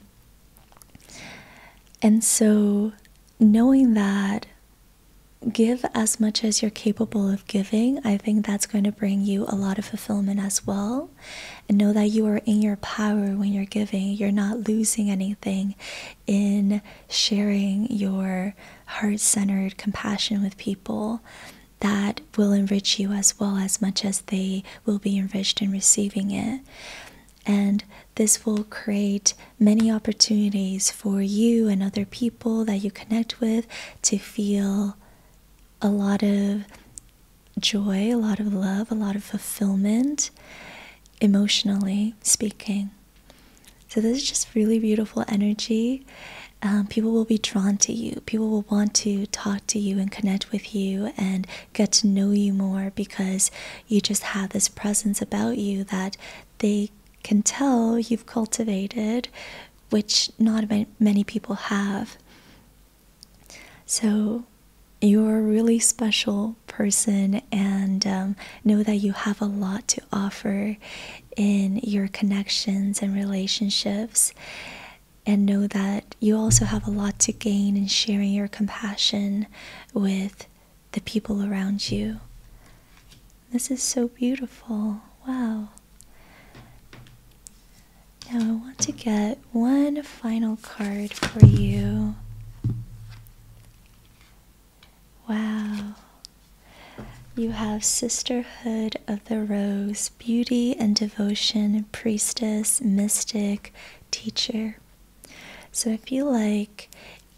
And so, knowing that, give as much as you're capable of giving. I think that's going to bring you a lot of fulfillment as well. And know that you are in your power when you're giving, you're not losing anything in sharing your heart centered compassion with people. That will enrich you as well as much as they will be enriched in receiving it. And this will create many opportunities for you and other people that you connect with to feel a lot of joy, a lot of love, a lot of fulfillment, emotionally speaking. So, this is just really beautiful energy. Um, people will be drawn to you. People will want to talk to you and connect with you and get to know you more because you just have this presence about you that they can tell you've cultivated, which not many people have. So, you're a really special person, and um, know that you have a lot to offer in your connections and relationships and know that you also have a lot to gain in sharing your compassion with the people around you. This is so beautiful. Wow. Now, I want to get one final card for you. Wow. You have Sisterhood of the Rose, Beauty and Devotion, Priestess, Mystic, teacher. So if you like,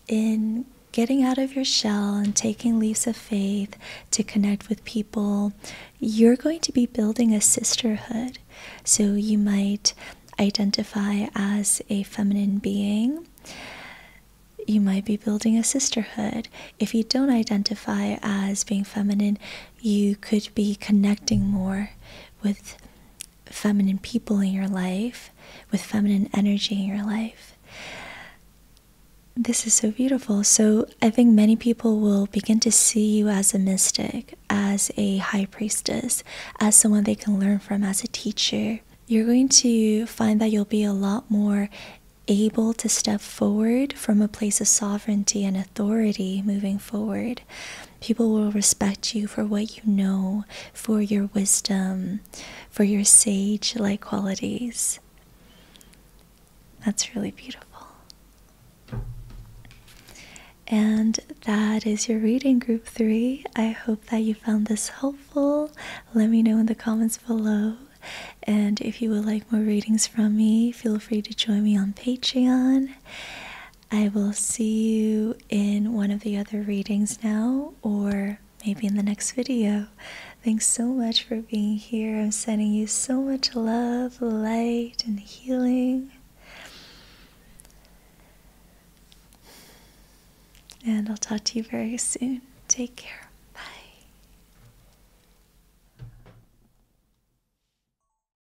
in getting out of your shell and taking leaps of faith to connect with people, you're going to be building a sisterhood. So you might identify as a feminine being. You might be building a sisterhood. If you don't identify as being feminine, you could be connecting more with feminine people in your life, with feminine energy in your life. This is so beautiful. So, I think many people will begin to see you as a mystic, as a high priestess, as someone they can learn from, as a teacher. You're going to find that you'll be a lot more able to step forward from a place of sovereignty and authority moving forward. People will respect you for what you know, for your wisdom, for your sage like qualities. That's really beautiful. And that is your reading, group three. I hope that you found this helpful. Let me know in the comments below. And if you would like more readings from me, feel free to join me on Patreon. I will see you in one of the other readings now, or maybe in the next video. Thanks so much for being here. I'm sending you so much love, light, and healing. And I'll talk to you very soon. Take care. Bye.